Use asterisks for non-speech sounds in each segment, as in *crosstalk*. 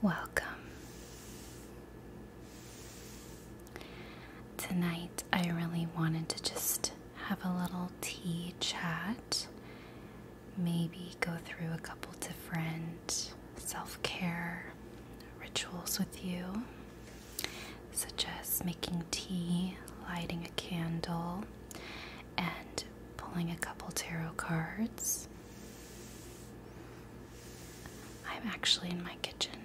Welcome. Tonight, I really wanted to just have a little tea chat, maybe go through a couple different self care rituals with you such as making tea, lighting a candle, and pulling a couple tarot cards. I'm actually in my kitchen,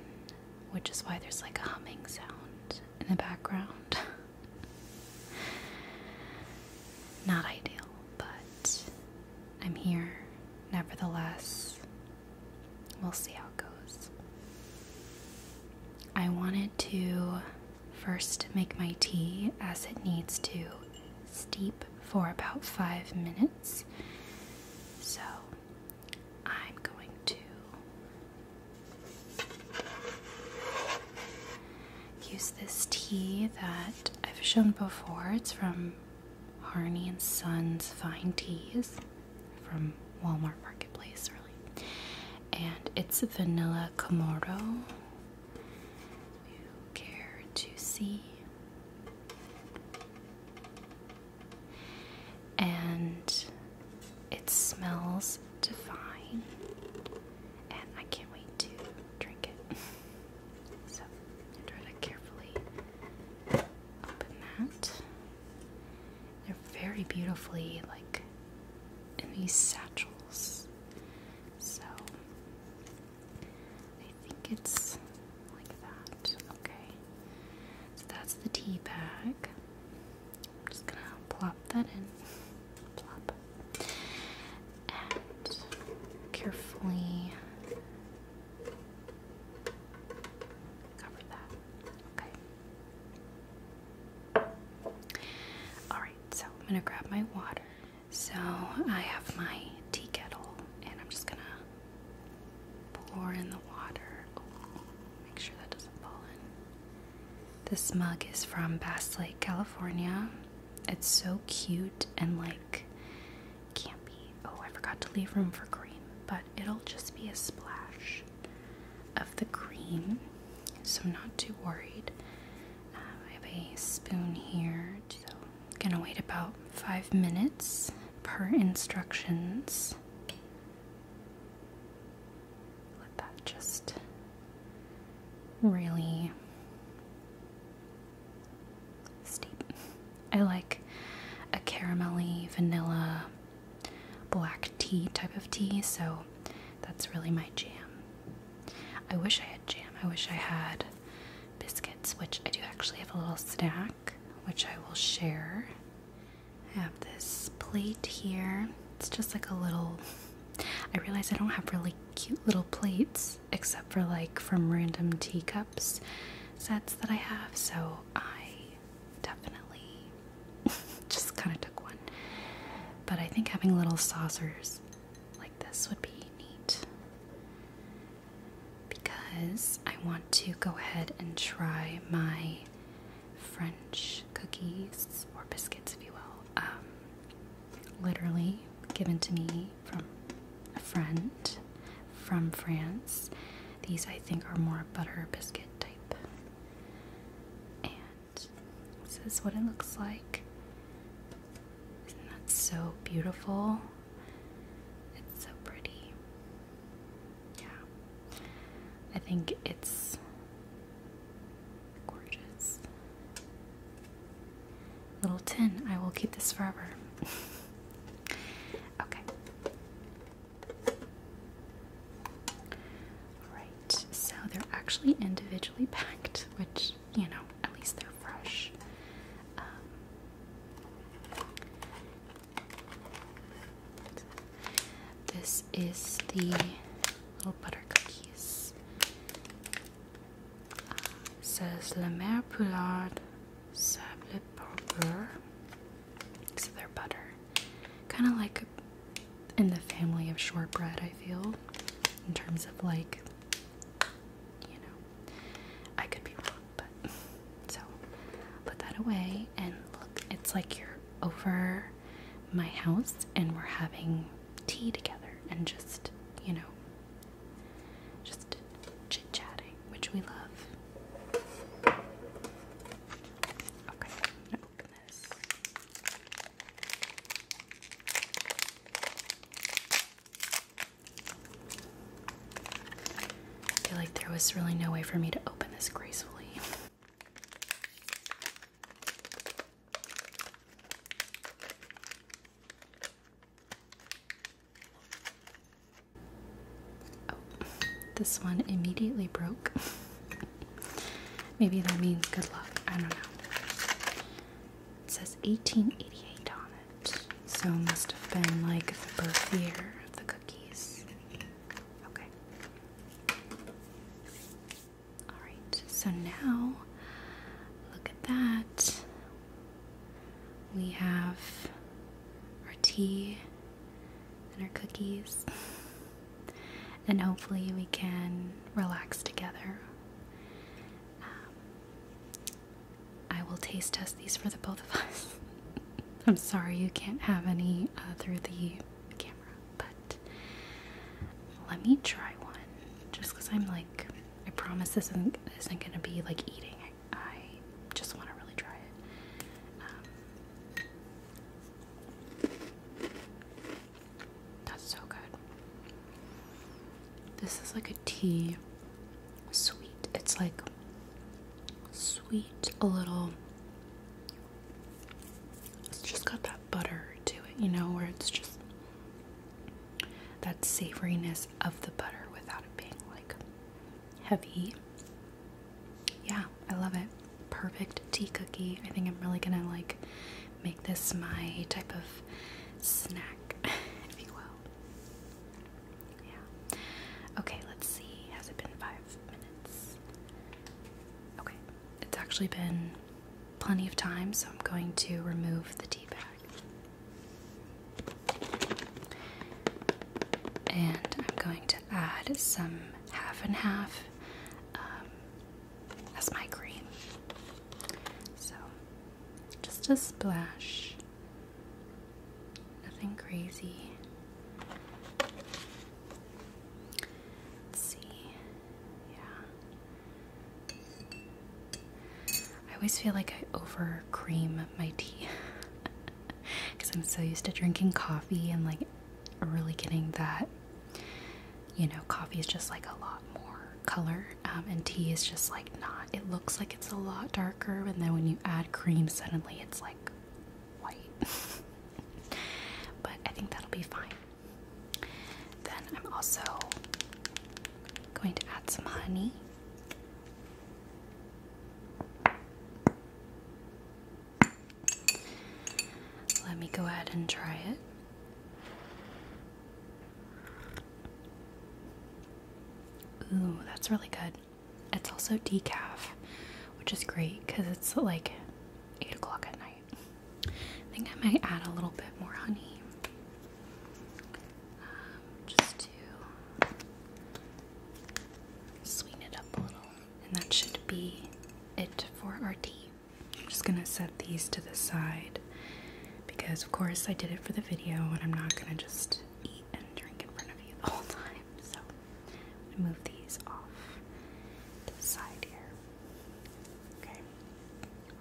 which is why there's like a humming sound in the background. *laughs* Not ideal, but I'm here nevertheless. We'll see how it goes. I wanted to first make my tea as it needs to steep for about five minutes. So I'm going to use this tea that I've shown before. It's from Harney and Sons Fine Teas from Walmart Marketplace, really. And it's vanilla Kamado. you care to see. And it smells divine. And I can't wait to drink it. *laughs* so, try to carefully open that. They're very beautifully like in these satchels. So I think it's like that. Okay. So that's the tea bag. I'm just gonna plop that in. Plop. And carefully cover that. Okay. Alright, so I'm gonna grab my water. So I have my tea kettle and I'm just gonna pour in the water. make sure that doesn't fall in. This mug is from Bass Lake, California. It's so cute and like campy. Oh, I forgot to leave room for cream, but it'll just be a splash of the cream, so not too worried. Um, I have a spoon here, so gonna wait about five minutes per instructions. Let that just really steep. I like a caramel-y vanilla black tea type of tea, so that's really my jam. I wish I had jam. I wish I had biscuits, which I do actually have a little snack, which I will share. I have this plate here. It's just like a little. *laughs* I realize I don't have really cute little plates except for like from random teacups sets that I have, so I definitely *laughs* just kind of took one. But I think having little saucers like this would be neat because I want to go ahead and try my French cookies or biscuits, if you will. Um, literally given to me from a friend from France. These I think are more butter biscuit type. And this is what it looks like. Isn't that so beautiful? It's so pretty. Yeah. I think it's gorgeous. Little tin. I will keep this forever. *laughs* okay. Alright, so they're actually individually packed, which, you know, at least they're fresh. Um, this is the little butter cookies. Uh, says La Mère Poulard Sable Beurre so they're butter, Kind of like in the family of shortbread, I feel, in terms of like, you know, I could be wrong, but *laughs* so put that away and look, it's like you're over my house and we're having tea together and just, you know, just chit chatting, which we love. I feel like there was really no way for me to open this gracefully. Oh, this one immediately broke. *laughs* Maybe that means good luck. I don't know. It says 1888 on it, so must have been like the birth year of the cookies. Okay. Alright, so now look at that. We have our tea and our cookies. and hopefully, we can relax together. Um, I will taste test these for the both of us. *laughs* I'm sorry you can't have any uh, through the camera, but let me try one just because I'm like, I promise this isn't, going to be like eating. I, I just want to really try it. Um, that's so good. This is like a tea sweet. It's like sweet, a little. It's just got that butter to it, you know, where it's just that savoriness of the butter without it being like heavy. Yeah, I love it. Perfect tea cookie. I think I'm really gonna like make this my type of snack, *laughs* if you will. Yeah. Okay, let's see. Has it been five minutes? Okay, it's actually been plenty of time, so I'm going to remove the tea bag. And I'm going to add some half and half um, as my cream. So just a splash, nothing crazy. Let's see, yeah. I always feel like I over cream my tea. *laughs* because I'm so used to drinking coffee and like really getting that. You know, coffee is just like a lot more color, um, and tea is just like not. It looks like it's a lot darker, and then when you add cream, suddenly it's like white. *laughs* but I think that'll be fine. Then I'm also going to add some honey. Let me go ahead and try it. Ooh, that's really good. It's also decaf, which is great because it's like 8 o'clock at night. I think I might add a little bit more honey um, just to sweeten it up a little. And that should be it for our tea. I'm just gonna set these to the side because, of course, I did it for the video and I'm not gonna just eat and drink in front of you the whole time. So move these off to the side here. Okay,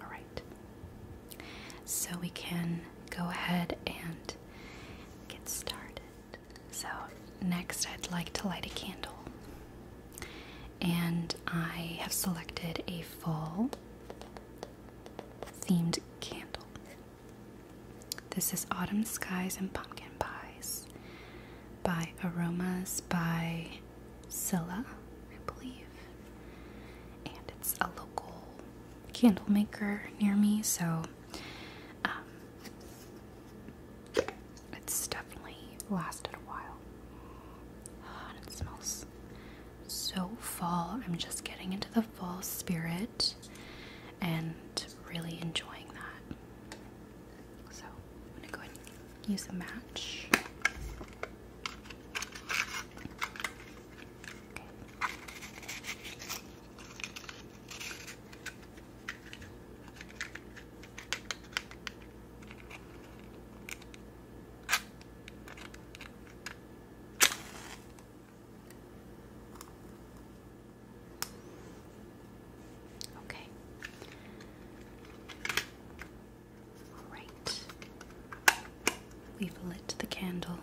all right. So we can go ahead and get started. So, next I'd like to light a candle. And I have selected a fall themed candle. This is Autumn Skies and Pumpkin Pies by Aromas by Scylla, I believe. And it's a local candle maker near me, so um, it's definitely lasted a while. and it smells so fall. I'm just getting into the fall spirit and really enjoying that. So I'm gonna go ahead and use a match. Okay. Okay. All right. We've lit the candle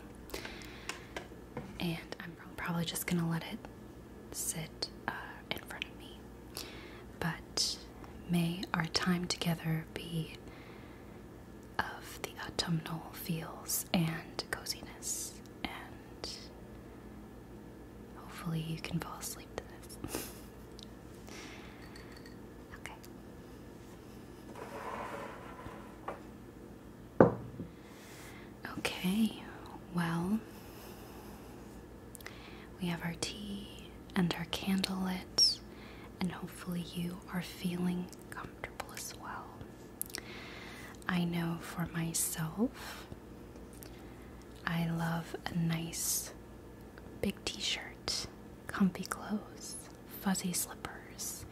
and I'm probably just gonna let it sit uh, in front of me. But may our time together be of the autumnal feels and coziness, and hopefully you can fall asleep to this. *laughs* okay. Okay, well, we have our tea and our candle lit, and hopefully, you are feeling comfortable as well. I know for myself, I love a nice big t shirt, comfy clothes, fuzzy slippers.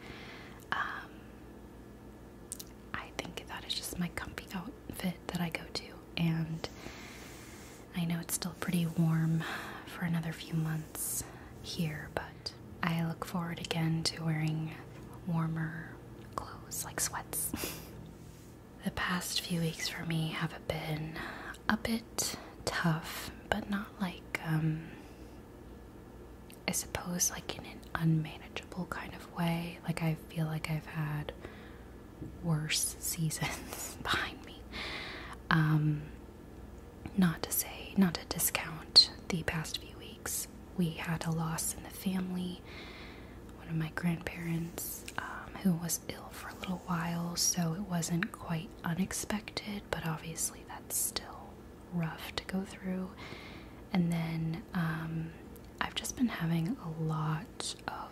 Um, I think that is just my comfy outfit that I go to, and I know it's still pretty warm for another few months here, but I look forward again to wearing warmer clothes like sweats. *laughs* the past few weeks for me have been a bit tough, but not like um, I suppose, like in an unmanageable kind of way. Like, I feel like I've had worse seasons *laughs* behind me. Um, not to say, not to discount the past few weeks. We had a loss in the family, one of my grandparents um, who was ill for a little while, so it wasn't quite unexpected, but obviously that's still rough to go through. And then um, I've just been having a lot of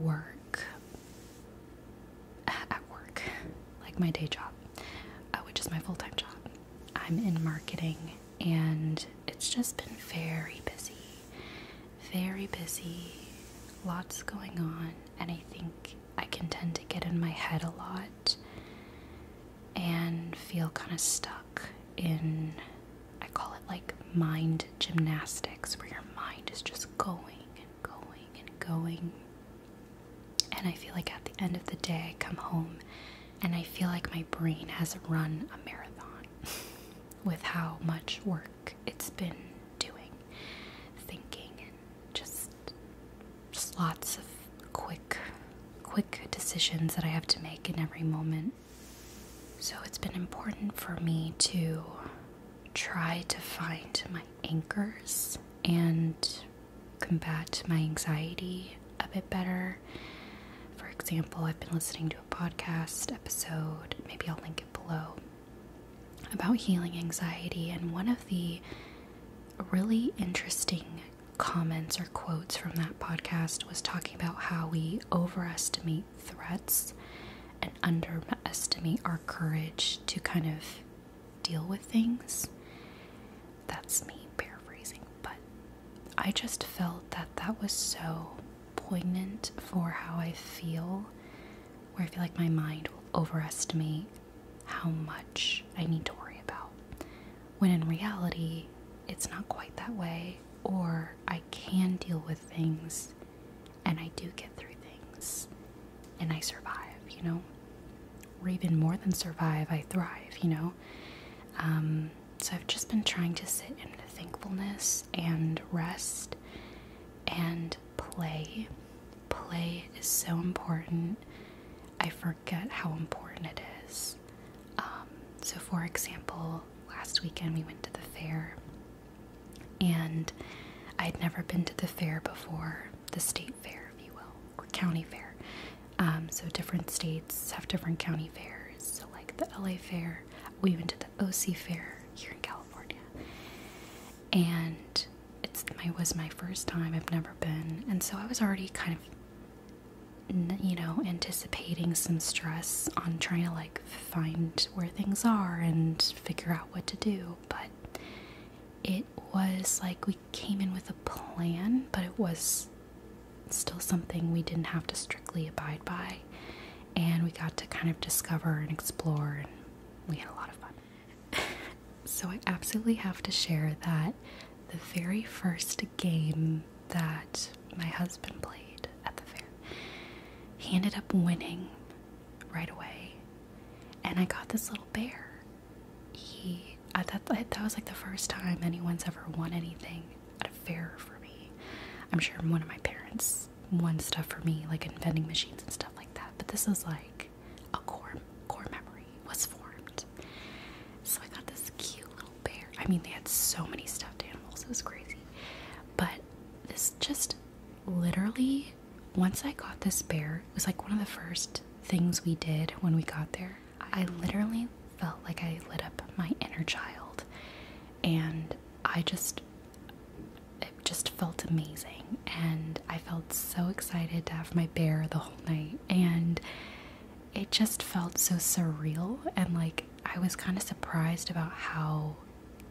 work at work, like my day job, uh, which is my full time job. I'm in marketing and it's just been very busy, very busy, lots going on, and I think I can tend to get in my head a lot and feel kind of stuck in, I call it like mind gymnastics, where your mind is just going and going and going. And I feel like at the end of the day, I come home and I feel like my brain has run a marathon *laughs* with how much work it's been doing, thinking, and just lots of quick quick, decisions that I have to make in every moment. So it's been important for me to try to find my anchors and combat my anxiety a bit better. For example, I've been listening to a podcast episode, maybe I'll link it below, about healing anxiety. And one of the really interesting comments or quotes from that podcast was talking about how we overestimate threats and underestimate our courage to kind of deal with things. That's me paraphrasing, but I just felt that that was so poignant for how I feel, where I feel like my mind will overestimate how much I need to worry about when in reality, it's not quite that way, or I can deal with things and I do get through things and I survive, you know, or even more than survive, I thrive, you know. Um, so I've just been trying to sit in thankfulness and rest and play. Play is so important. I forget how important it is. Um, so, for example, last weekend we went to the fair, and I would never been to the fair before, the state fair, if you will, or county fair. Um, so, different states have different county fairs. So, like the LA fair, we went to the OC fair here in California, and it was my first time. I've never been, and so I was already kind of you know, anticipating some stress on trying to like find where things are and figure out what to do. But it was like we came in with a plan, but it was still something we didn't have to strictly abide by. And we got to kind of discover and explore, and we had a lot of fun. *laughs* so, I absolutely have to share that the very first game that my husband played at the fair. He ended up winning right away, and I got this little bear. He, I thought that, that was like the first time anyone's ever won anything at a fair for me. I'm sure one of my parents won stuff for me, like in vending machines and stuff like that. But this was like a core core memory was formed. So I got this cute little bear. I mean, they had so many stuffed animals, it was crazy. But this just literally, once I got this bear, it was like one of the first things we did when we got there. I literally felt like I lit up my inner child, and I just it just felt amazing and I felt so excited to have my bear the whole night and it just felt so surreal and like I was kind of surprised about how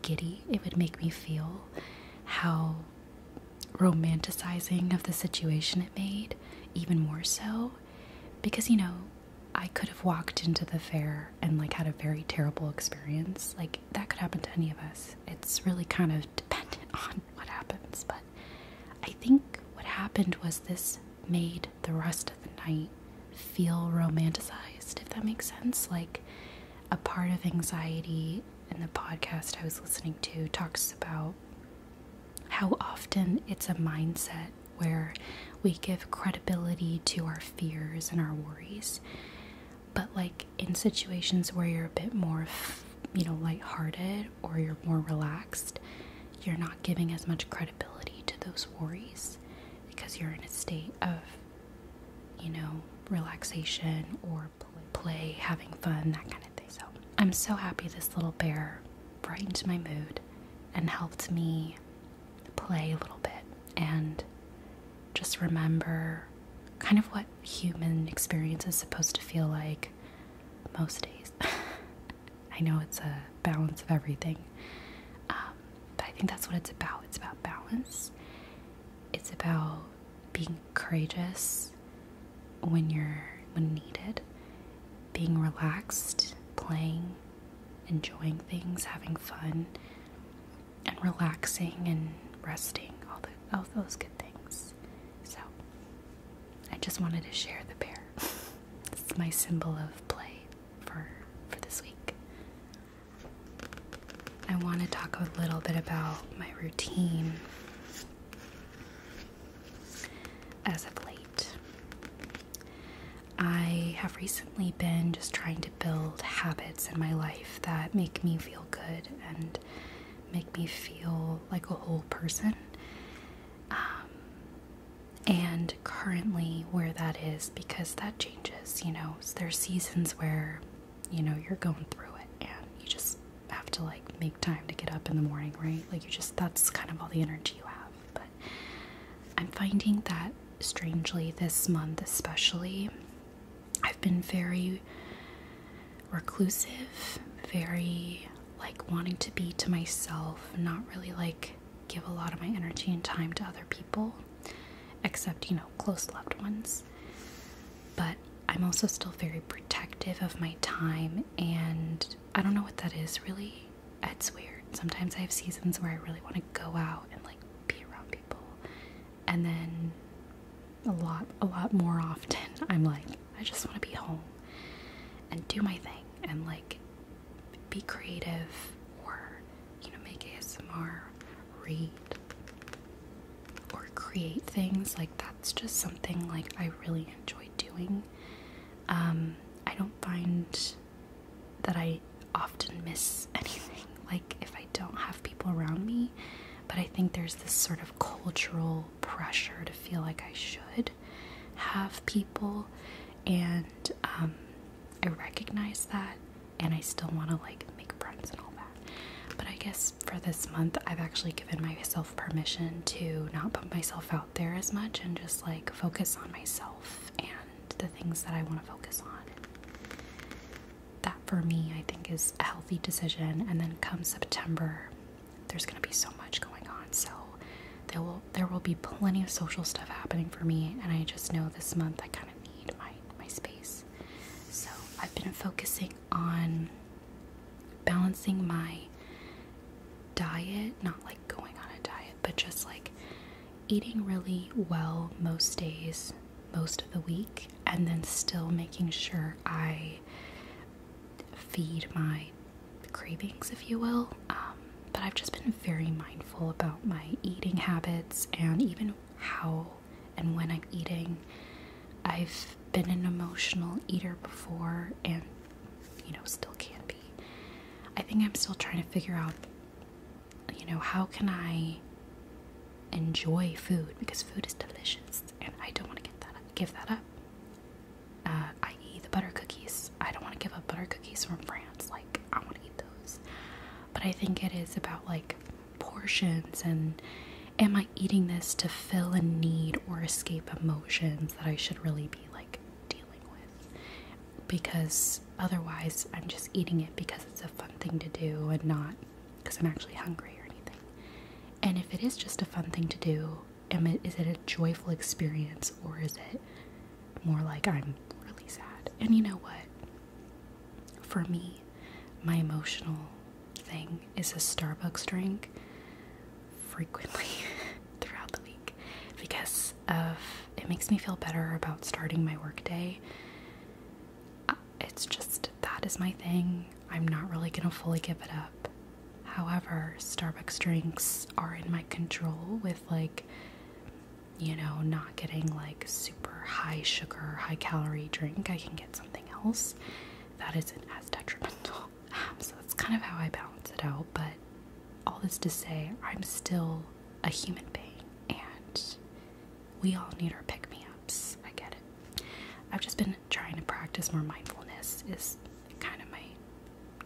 giddy it would make me feel, how romanticizing of the situation it made, even more so. Because, you know, I could have walked into the fair and like had a very terrible experience. Like, that could happen to any of us. It's really kind of dependent *laughs* on what happens. But I think what happened was this made the rest of the night feel romanticized, if that makes sense. Like a part of anxiety And the podcast I was listening to talks about how often it's a mindset where we give credibility to our fears and our worries. But like in situations where you're a bit more, you know, light-hearted or you're more relaxed, you're not giving as much credibility to those worries because you're in a state of, you know, relaxation or play, having fun, that kind of thing. So I'm so happy this little bear brightened my mood and helped me play a little bit and just remember kind of what human experience is supposed to feel like most days. *laughs* I know it's a balance of everything, um, but I think that's what it's about. It's about balance, it's about being courageous when you're when needed, being relaxed, playing, enjoying things, having fun, and relaxing and resting all the all those good things. So I just wanted to share the bear. *laughs* it's my symbol of play for for this week. I want to talk a little bit about my routine as of late. I have recently been just trying to build habits in my life that make me feel good and make me feel like a whole person. Um, and currently, where that is, because that changes, you know, there's seasons where, you know, you're going through it and you just have to like make time to get up in the morning, right? Like, you just that's kind of all the energy you have. But I'm finding that strangely this month, especially, I've been very reclusive, very like wanting to be to myself, not really like give a lot of my energy and time to other people, except, you know, close loved ones. But I'm also still very protective of my time, and I don't know what that is really. It's weird. Sometimes I have seasons where I really want to go out and like be around people, and then a lot, a lot more often, *laughs* I'm like, I just want to be home and do my thing and like be creative or you know make ASMR, read or create things like that's just something like I really enjoy doing. Um, I don't find that I often miss *laughs* anything like if I don't have people around me, but I think there's this sort of cultural pressure to feel like I should have people and um, I recognize that and I still want to like make friends and all that. But I guess for this month I've actually given myself permission to not put myself out there as much and just like focus on myself and the things that I want to focus on. That for me I think is a healthy decision and then come September there's going to be so much going on. So there will there will be plenty of social stuff happening for me, and I just know this month I kind of need my my space. So I've been focusing on balancing my diet, not like going on a diet, but just like eating really well most days, most of the week, and then still making sure I feed my cravings, if you will. Um, but I've just been very mindful about my eating habits and even how and when I'm eating. I've been an emotional eater before and, you know, still can be. I think I'm still trying to figure out, you know, how can I enjoy food because food is delicious and I don't want to get that up, give that up uh, i.e., the butter cookies. I don't want to give up butter cookies from France. Like, I want to eat those. But I think it is about like portions and am I eating this to fill a need or escape emotions that I should really be like dealing with? Because otherwise, I'm just eating it because it's a fun thing to do and not because I'm actually hungry or anything. And if it is just a fun thing to do, am it is it a joyful experience or is it more like I'm really sad? And you know what? For me, my emotional thing is a Starbucks drink frequently *laughs* throughout the week because of it makes me feel better about starting my workday. Uh, it's just that is my thing. I'm not really gonna fully give it up However, Starbucks drinks are in my control with like you know, not getting like super high sugar, high calorie drink. I can get something else that isn't as detrimental. *laughs* so that's kind of how I balance it out, but all this to say, I'm still a human being and we all need our pick me ups. I get it. I've just been trying to practice more mindfulness is kind of my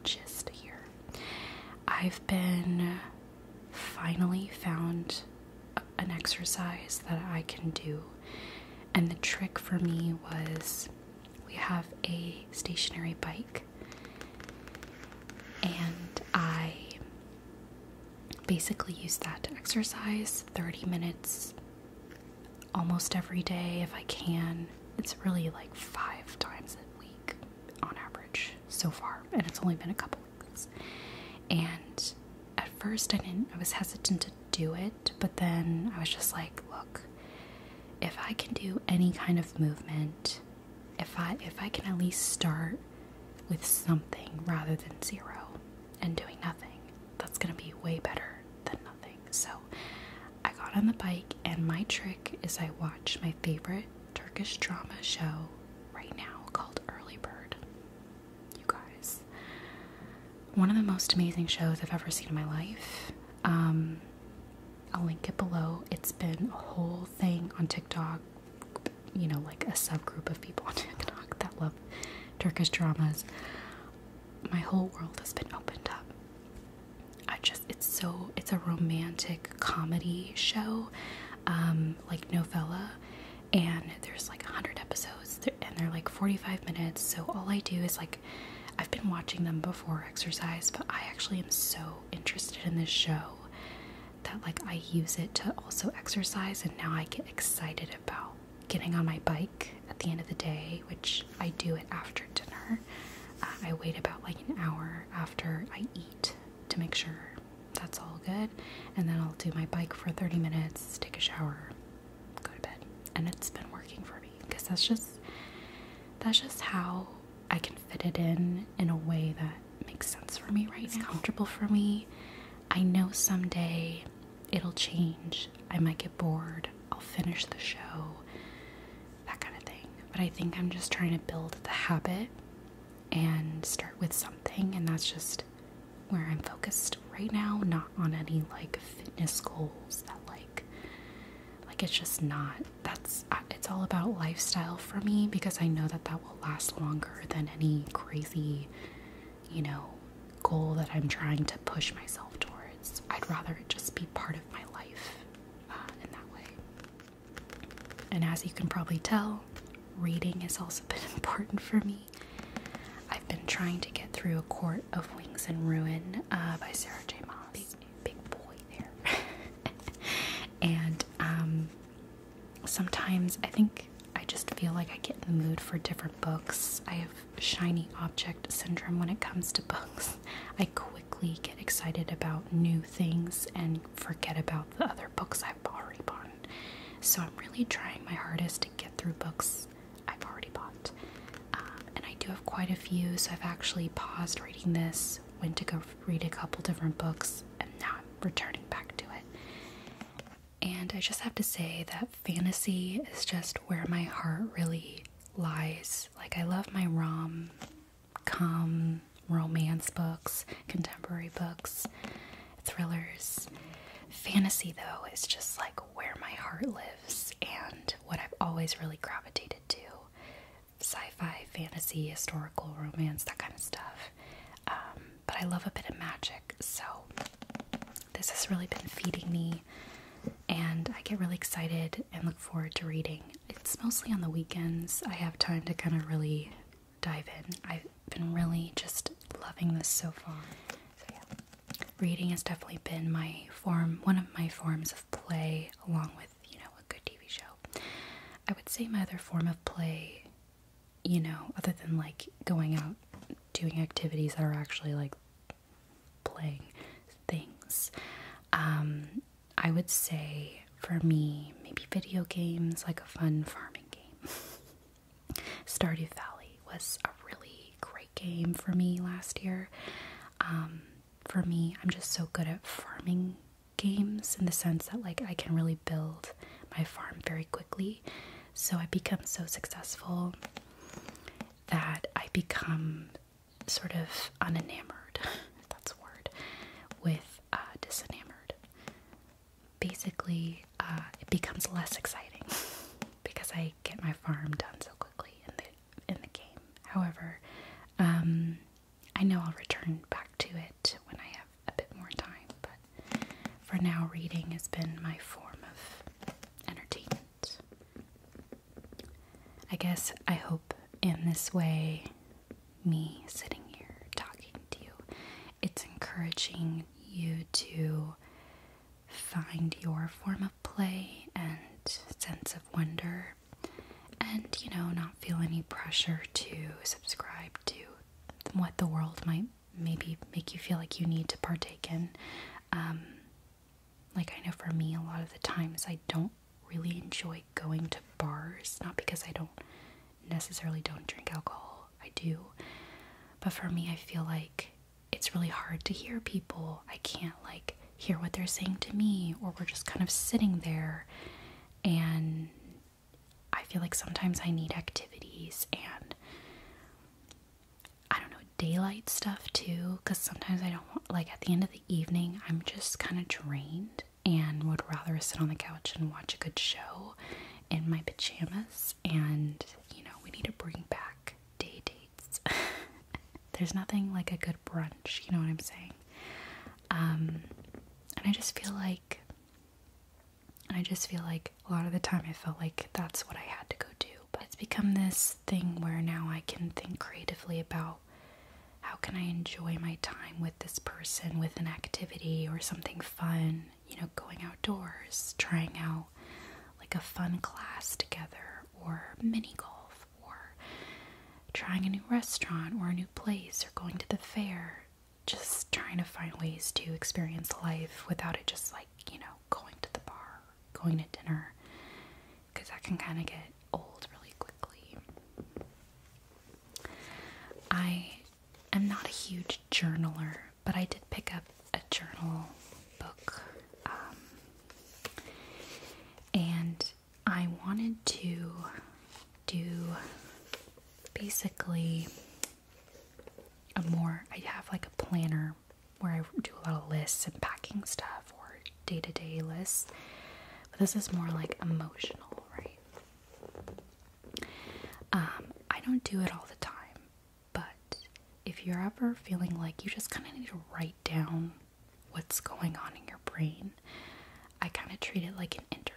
gist here. I've been finally found an exercise that I can do, and the trick for me was we have a stationary bike, and I basically use that to exercise 30 minutes almost every day if I can. It's really like five times a week on average so far, and it's only been a couple weeks. And at first, I didn't, I was hesitant to do it, but then I was just like, look, if I can do any kind of movement, if I if I can at least start with something rather than zero and doing nothing, that's gonna be way better than nothing. So I got on the bike, and my trick is I watch my favorite Turkish drama show right now called Early Bird. You guys, one of the most amazing shows I've ever seen in my life. Um, I'll link it below. It's been a whole thing on TikTok, you know, like a subgroup of people *laughs* on TikTok that love Turkish dramas. My whole world has been opened up I just it's so it's a romantic comedy show, um, like novella, and there's like hundred episodes and they're like forty five minutes. So all I do is like I've been watching them before exercise, but I actually am so interested in this show that like I use it to also exercise and now I get excited about getting on my bike at the end of the day, which I do it after dinner. Uh, I wait about like an hour after I eat to make sure that's all good, and then I'll do my bike for 30 minutes, take a shower, go to bed, and it's been working for me because that's just that's just how I can fit it in in a way that makes sense for me right it's now. comfortable for me. I know someday it'll change. I might get bored. I'll finish the show. That kind of thing. But I think I'm just trying to build the habit and start with something and that's just where I'm focused right now, not on any like fitness goals that like like it's just not that's uh, it's all about lifestyle for me because I know that that will last longer than any crazy, you know, goal that I'm trying to push myself towards. I'd rather it just be part of my life uh, in that way. And as you can probably tell, reading has also *laughs* been important for me. I've been trying to get through A Court of Wings and Ruin uh, by Sarah J. Maas. Big, boy there. *laughs* and um, sometimes I think I just feel like I get in the mood for different books. I have shiny object syndrome when it comes to books. I quickly get excited about new things and forget about the other books I've already bought. So I'm really trying my hardest to get through books I've already bought. Um, and I do have quite a few, so I've actually paused reading this, went to go read a couple different books, and now I'm returning back to it. And I just have to say that fantasy is just where my heart really lies. Like I love my rom com romance books, contemporary books, thrillers. Fantasy though is just like where my heart lives and what I've always really gravitated to. Sci-fi, fantasy, historical romance, that kind of stuff. Um, but I love a bit of magic, so this has really been feeding me and I get really excited and look forward to reading. It's mostly on the weekends I have time to kind of really dive in. I've been really just loving this so far. reading has definitely been my form, one of my forms of play, along with you know a good TV show. I would say my other form of play, you know, other than like going out doing activities that are actually like playing things. Um, I would say for me, maybe video games, like a fun farming game. *laughs* Stardew Valley was a really great game for me last year. Um, for me, I'm just so good at farming games in the sense that like I can really build my farm very quickly. So I become so successful that I become sort of unenamored, *laughs* that's a word, with uh, disenamored. Basically, uh, it becomes less exciting *laughs* because I get my farm done so quickly in the in the game. However, um, I know I'll return back to it when I have a bit more time. But for now, reading has been my form of entertainment. I guess I hope in this way, me sitting here talking to you, it's encouraging you to find your form of play and sense of wonder, and you know, not feel any pressure to subscribe to what the world might maybe make you feel like you need to partake in. Um, like, I know for me, a lot of the times I don't really enjoy going to bars, not because I don't necessarily don't drink alcohol, I do. But for me, I feel like it's really hard to hear people. I can't, like, hear what they're saying to me, or we're just kind of sitting there. And I feel like sometimes I need activities and I don't know, daylight stuff too, because sometimes I don't like, at the end of the evening, I'm just kind of drained and would rather sit on the couch and watch a good show in my pajamas. And, you know, we need to bring back day dates. *laughs* There's nothing like a good brunch, you know what I'm saying? Um, and I just feel like, I just feel like a lot of the time I felt like that's what I had to go do. But it's become this thing where now I can think creatively about how can I enjoy my time with this person with an activity or something fun, you know, going outdoors, trying out like a fun class together or mini golf or trying a new restaurant or a new place or going to the fair. Just trying to find ways to experience life without it just like, you know, going to the bar going to dinner because that can kind of get old really quickly. I am not a huge journaler, but I did pick up a journal book um, and I wanted to do basically a more, I have like a planner where I do a lot of lists and packing stuff or day to day lists. But this is more like emotional, right? Um, I don't do it all the time, but if you're ever feeling like you just kind of need to write down what's going on in your brain, I kind of treat it like an interview.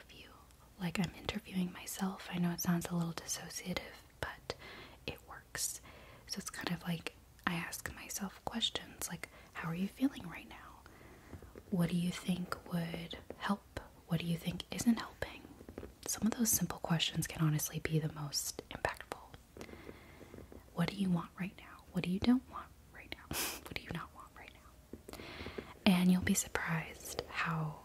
Like I'm interviewing myself. I know it sounds a little dissociative, but it works. So it's kind of like I ask myself questions like, how are you feeling right now? What do you think would help? What do you think isn't helping? Some of those simple questions can honestly be the most impactful. What do you want right now? What do you don't want right now? *laughs* what do you not want right now? And you'll be surprised how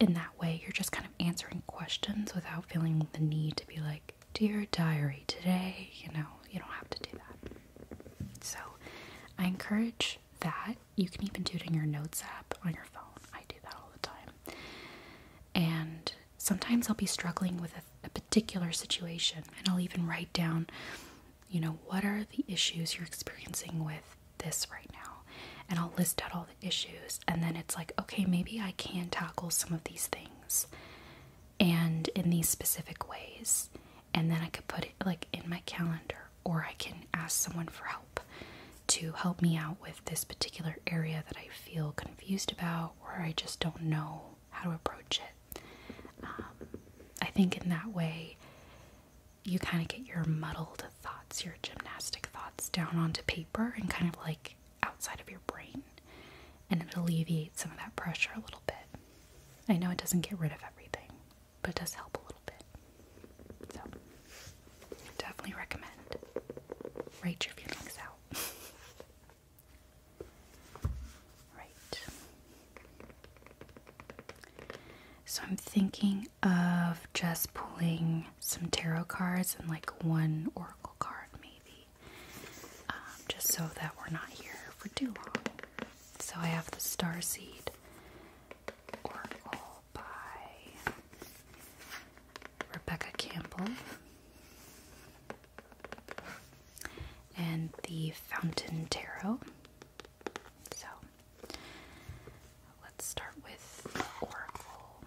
in that way, you're just kind of answering questions without feeling the need to be like, Dear diary, today, you know, you don't have to do that. So I encourage that. You can even do it in your notes app on your phone. I do that all the time. And sometimes I'll be struggling with a, particular situation, and I'll even write down, you know, what are the issues you're experiencing with this right now? And I'll list out all the issues and then it's like okay maybe i can tackle some of these things and in these specific ways and then i could put it like in my calendar or i can ask someone for help to help me out with this particular area that i feel confused about or i just don't know how to approach it um, i think in that way you kind of get your muddled thoughts your gymnastic thoughts down onto paper and kind of like outside of your brain and it alleviates some of that pressure a little bit. I know it doesn't get rid of everything, but it does help a little bit. So, definitely recommend. Write your feelings out. *laughs* right. So, I'm thinking of just pulling some tarot cards and like one oracle card, maybe, um, just so that we're not here for too long. So I have the Starseed Oracle by Rebecca Campbell and the Fountain Tarot. So let's start with the Oracle.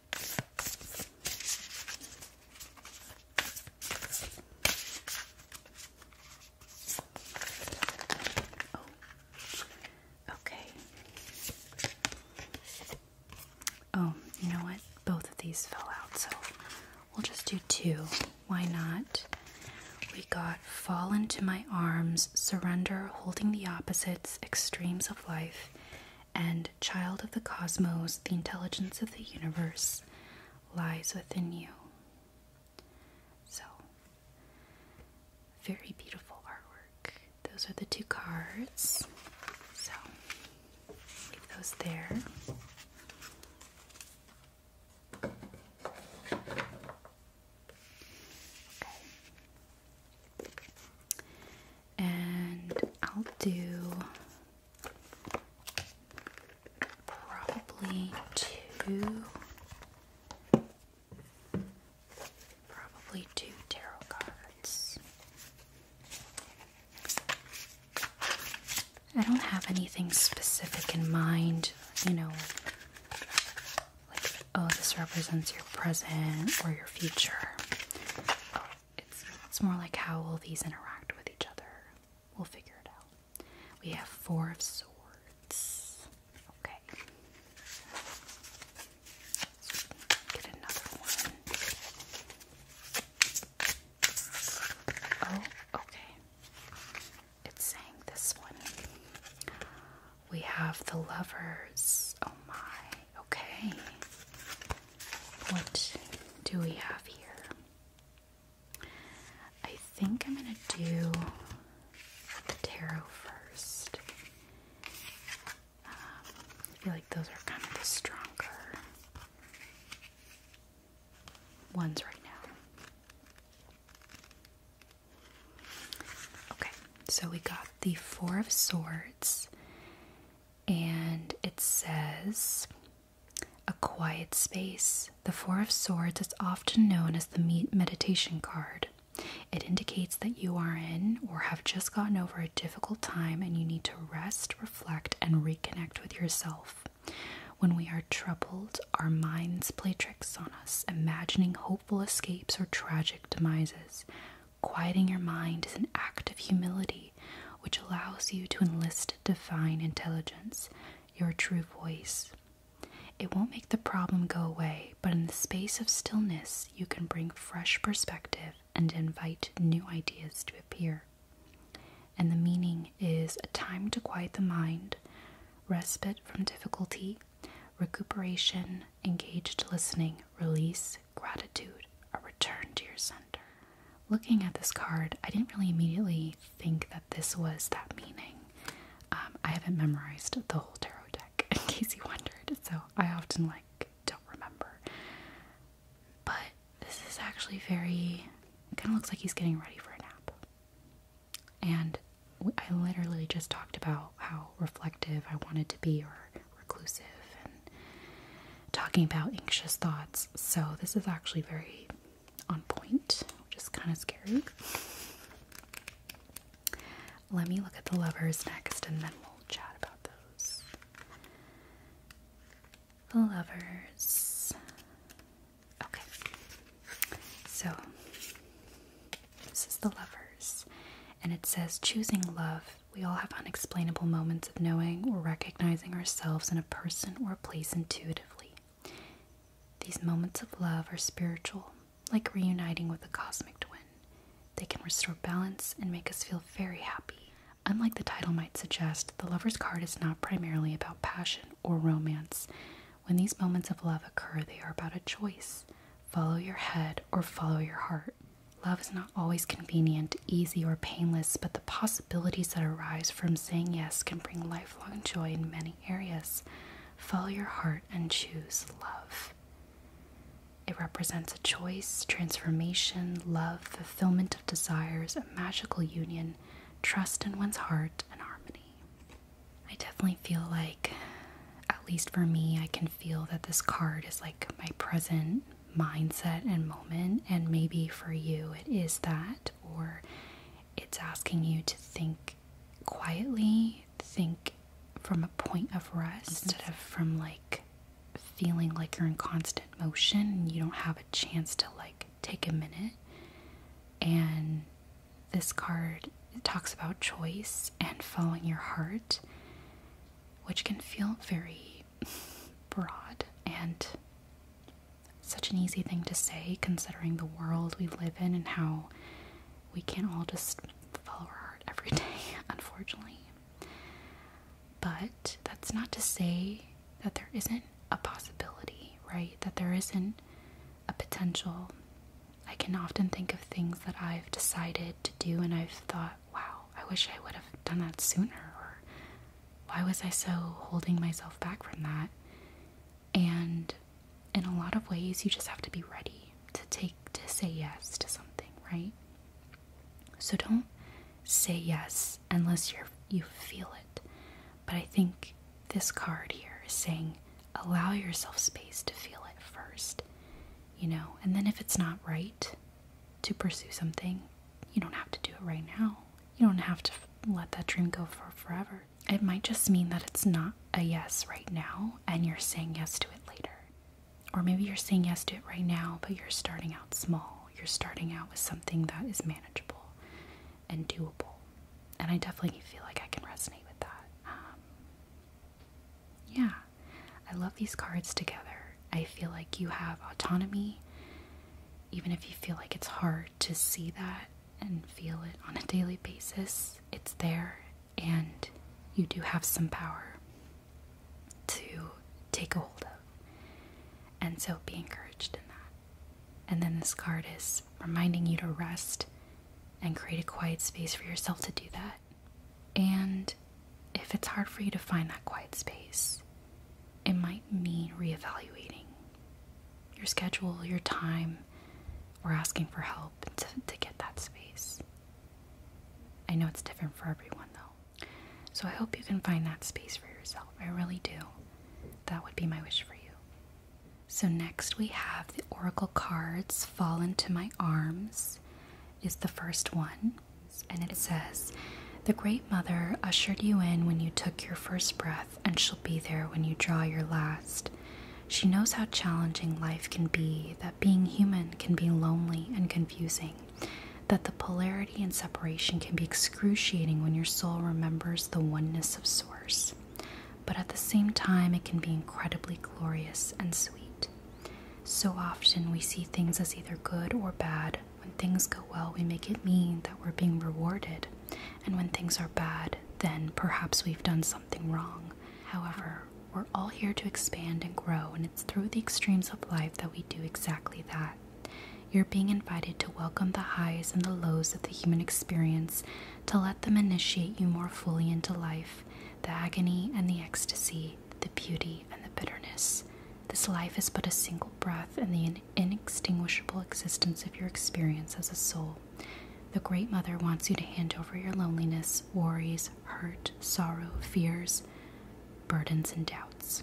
Oh. okay. Oh, you know what? Both of these fell out, so we'll just do two. Why not? We got Fall into My Arms, Surrender, Holding the Opposites, Extremes of Life, and child of the cosmos, the intelligence of the universe lies within you. So, very beautiful artwork. Those are the two cards. So, leave those there. Okay. And I'll do Probably two. Probably two tarot cards. I don't have anything specific in mind, you know, like, oh, this represents your present or your future it's it's more like how will these interact with each other. We'll figure it out. We have four of swords. Okay. get another one. Oh, okay. It's saying this one. We have the lovers. Oh my. Okay. What do we have here? I think I'm going to do the tarot first. Um, I feel like those are kind of the stronger ones right now. Okay, so we got the Four of Swords and it says a quiet space. The Four of Swords is often known as the meditation card. It indicates that you are in or have just gotten over a difficult time and you need to rest, reflect, and reconnect with yourself. When we are troubled, our minds play tricks on us, imagining hopeful escapes or tragic demises. Quieting your mind is an act of humility which allows you to enlist divine intelligence, your true voice. It won't make the problem go away, but in the space of stillness, you can bring fresh perspective and invite new ideas to appear. And the meaning is a time to quiet the mind, respite from difficulty, recuperation, engaged listening, release, gratitude, a return to your center. Looking at this card, I didn't really immediately think that this was that meaning. Um, I haven't memorized the whole tarot deck, *laughs* in case you wondered, so I often like don't remember. But this is actually very. Kind of looks like he's getting ready for a nap. And I literally just talked about how reflective I wanted to be, or reclusive and talking about anxious thoughts. So, this is actually very on point, which is kind of scary. Let me look at the lovers next and then we'll chat about those. The lovers. Okay. So, this is the lovers. And it says choosing love we all have unexplainable moments of knowing or recognizing ourselves in a person or a place intuitively. These moments of love are spiritual, like reuniting with a cosmic twin. They can restore balance and make us feel very happy. Unlike the title might suggest, the lover's card is not primarily about passion or romance. When these moments of love occur, they are about a choice follow your head or follow your heart. Love is not always convenient, easy, or painless, but the possibilities that arise from saying yes can bring lifelong joy in many areas. Follow your heart and choose love. It represents a choice, transformation, love, fulfillment of desires, a magical union, trust in one's heart, and harmony. I definitely feel like, at least for me, I can feel that this card is like my present mindset and moment, and maybe for you it is that, or it's asking you to think quietly, think from a point of rest mm-hmm. instead of from like feeling like you're in constant motion and you don't have a chance to like take a minute. And this card talks about choice and following your heart, which can feel very broad and such an easy thing to say considering the world we live in and how we can't all just follow our heart every *laughs* day, unfortunately. But that's not to say that there isn't a possibility, right? That there isn't a potential. I can often think of things that I've decided to do and I've thought, wow, I wish I would have done that sooner, or why was I so holding myself back from that? And in a lot of ways, you just have to be ready to take, to say yes to something, right? So don't say yes unless you're, you feel it. But I think this card here is saying allow yourself space to feel it first, you know, and then if it's not right to pursue something, you don't have to do it right now. You don't have to let that dream go for forever. It might just mean that it's not a yes right now and you're saying yes to it later. Or maybe you're saying yes to it right now, but you're starting out small. You're starting out with something that is manageable and doable. And I definitely feel like I can resonate with that. Um, yeah. I love these cards together. I feel like you have autonomy, even if you feel like it's hard to see that and feel it on a daily basis, it's there, and you do have some power to take a hold of. And so be encouraged in that. And then this card is reminding you to rest and create a quiet space for yourself to do that. And if it's hard for you to find that quiet space, it might mean reevaluating your schedule, your time, or asking for help to, to get that space. I know it's different for everyone though. So I hope you can find that space for yourself. I really do. That would be my wish for you. So next we have the oracle cards Fall into My Arms is the first one and it says, The Great Mother ushered you in when you took your first breath, and she'll be there when you draw your last. She knows how challenging life can be, that being human can be lonely and confusing, that the polarity and separation can be excruciating when your soul remembers the oneness of Source. But at the same time, it can be incredibly glorious and sweet. So often we see things as either good or bad. When things go well, we make it mean that we're being rewarded. And when things are bad, then perhaps we've done something wrong. However, we're all here to expand and grow, and it's through the extremes of life that we do exactly that. You're being invited to welcome the highs and the lows of the human experience, to let them initiate you more fully into life, the agony and the ecstasy, the beauty, and the bitterness. This life is but a single breath in the inextinguishable existence of your experience as a soul. The Great Mother wants you to hand over your loneliness, worries, hurt, sorrow, fears, burdens, and doubts.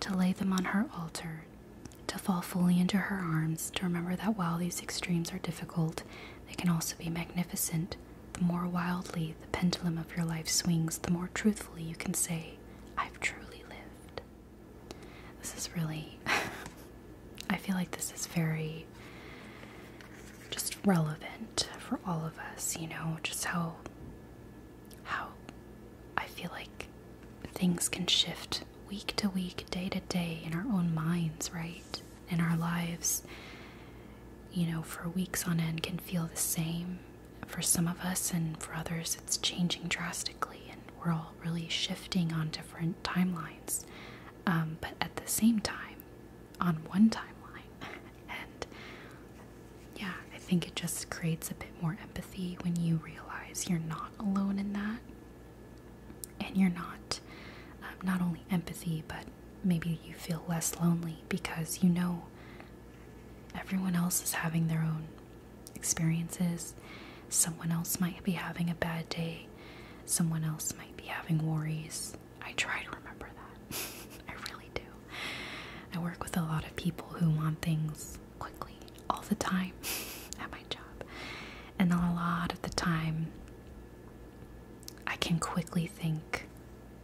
To lay them on her altar, to fall fully into her arms, to remember that while these extremes are difficult, they can also be magnificent. The more wildly the pendulum of your life swings, the more truthfully you can say, I've truly lived. This is really, *laughs* I feel like this is very just relevant for all of us, you know, just how, how I feel like things can shift week to week, day to day in our own minds, right? In our lives, you know, for weeks on end can feel the same for some of us and for others, it's changing drastically, and we're all really shifting on different timelines. Um, but at the same time, on one timeline. *laughs* and yeah, I think it just creates a bit more empathy when you realize you're not alone in that. And you're not, um, not only empathy, but maybe you feel less lonely because you know Everyone else is having their own experiences. Someone else might be having a bad day. Someone else might be having worries. I try to remember that. *laughs* I really do. I work with a lot of people who want things quickly, all the time, *laughs* at my job. And a lot of the time, I can quickly think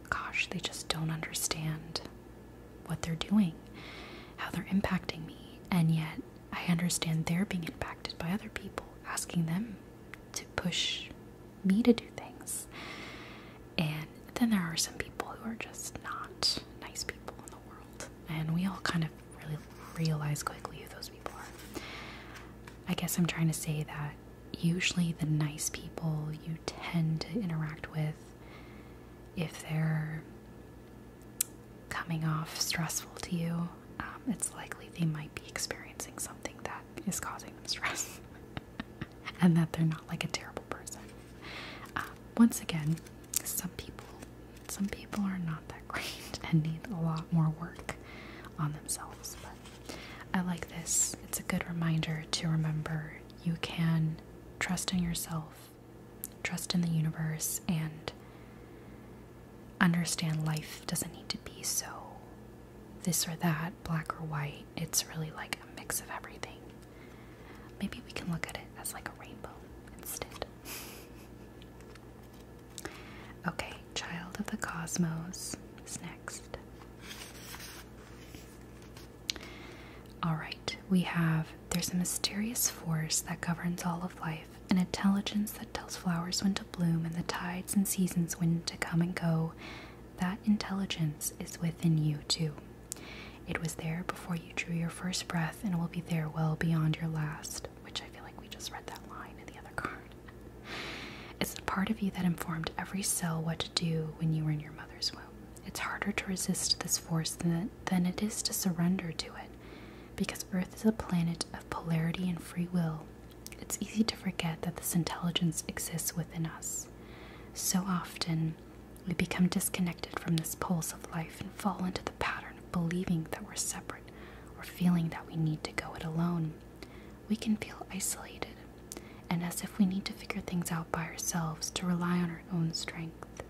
gosh, they just don't understand what they're doing, how they're impacting me. And yet, I understand they're being impacted by other people, asking them to push me to do things. And then there are some people who are just not nice people in the world. And we all kind of really realize quickly who those people are. I guess I'm trying to say that usually the nice people you tend to interact with if they're coming off stressful to you, um, it's likely they might be experiencing something that is causing them stress *laughs* and that they're not like a terrible person. Um, once again, some people some people are not that great *laughs* and need a lot more work on themselves, I like this. It's a good reminder to remember you can trust in yourself, trust in the universe, and understand life doesn't need to be so this or that, black or white. It's really like a mix of everything. Maybe we can look at it as like a rainbow instead. *laughs* okay, Child of the Cosmos is next. All right, we have there's a mysterious force that governs all of life, an intelligence that tells flowers when to bloom and the tides and seasons when to come and go. That intelligence is within you, too. It was there before you drew your first breath and will be there well beyond your last, which I feel like we just read that line in the other card. It's the part of you that informed every cell what to do when you were in your mother it's harder to resist this force than, than it is to surrender to it. Because Earth is a planet of polarity and free will, it's easy to forget that this intelligence exists within us. So often, we become disconnected from this pulse of life and fall into the pattern of believing that we're separate or feeling that we need to go it alone we can feel isolated and as if we need to figure things out by ourselves to rely on our own strength.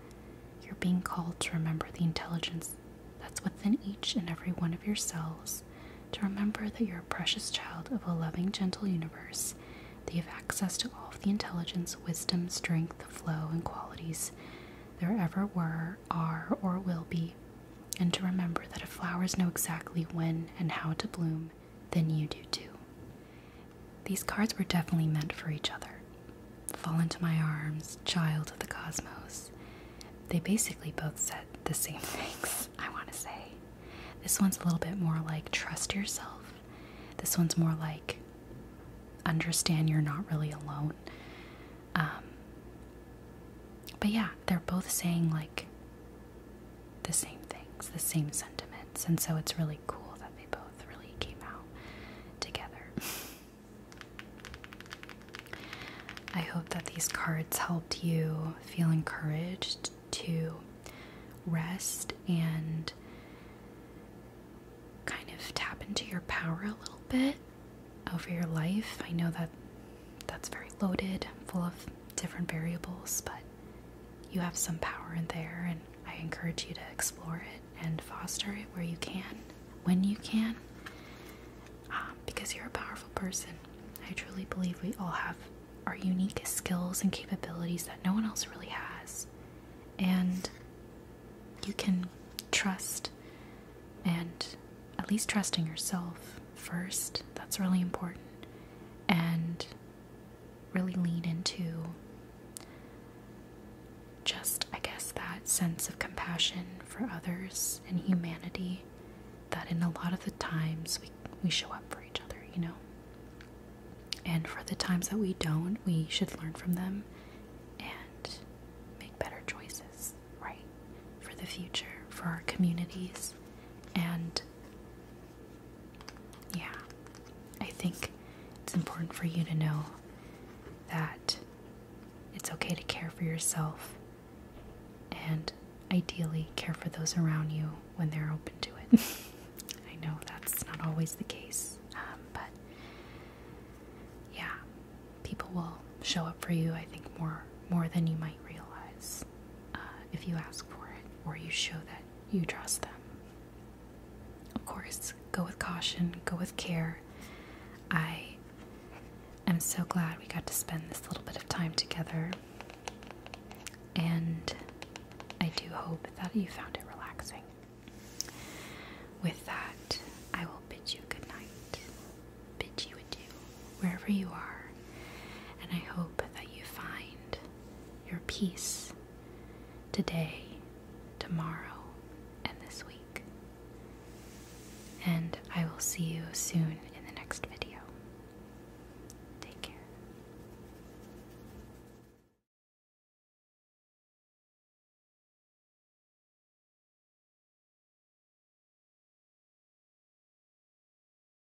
You're being called to remember the intelligence that's within each and every one of yourselves, to remember that you're a precious child of a loving, gentle universe, that you have access to all of the intelligence, wisdom, strength, flow, and qualities there ever were, are, or will be, and to remember that if flowers know exactly when and how to bloom than you do too. These cards were definitely meant for each other. Fall into my arms, child of the cosmos. They basically both said the same *laughs* things, I want to say. This one's a little bit more like trust yourself. This one's more like understand you're not really alone. Um, but yeah, they're both saying, like, the same things, the same sentiments, and so it's really cool that they both really came out together. I hope that these cards helped you feel encouraged to rest and kind of tap into your power a little bit over your life. I know that that's very loaded, full of different variables, but you have some power in there, and I encourage you to explore it and foster it where you can, when you can, um, because you're a powerful person. I truly believe we all have our unique skills and capabilities that no one else really has, and you can trust and at least trusting yourself first. That's really important. And really lean into just, I guess, that sense of compassion for others and humanity that in a lot of the times we, we show up for each other, you know? And for the times that we don't, we should learn from them and make better choices, right? For the future, for our communities, and yeah, I think it's important for you to know that it's okay to care for yourself and ideally care for those around you when they're open to it. *laughs* I know that's not always the case, um, but yeah, people will show up for you, I think, more more than you might realize. Uh, if you ask for it or you show that you trust them. Of course, go with caution, go with care. I am so glad we got to spend this little bit of time together, and I do hope that you found it relaxing. With that, I will bid you good night, bid you adieu, wherever you are, and I hope that you find your peace today, tomorrow, and this week. And I will see you soon in the next video. Take care.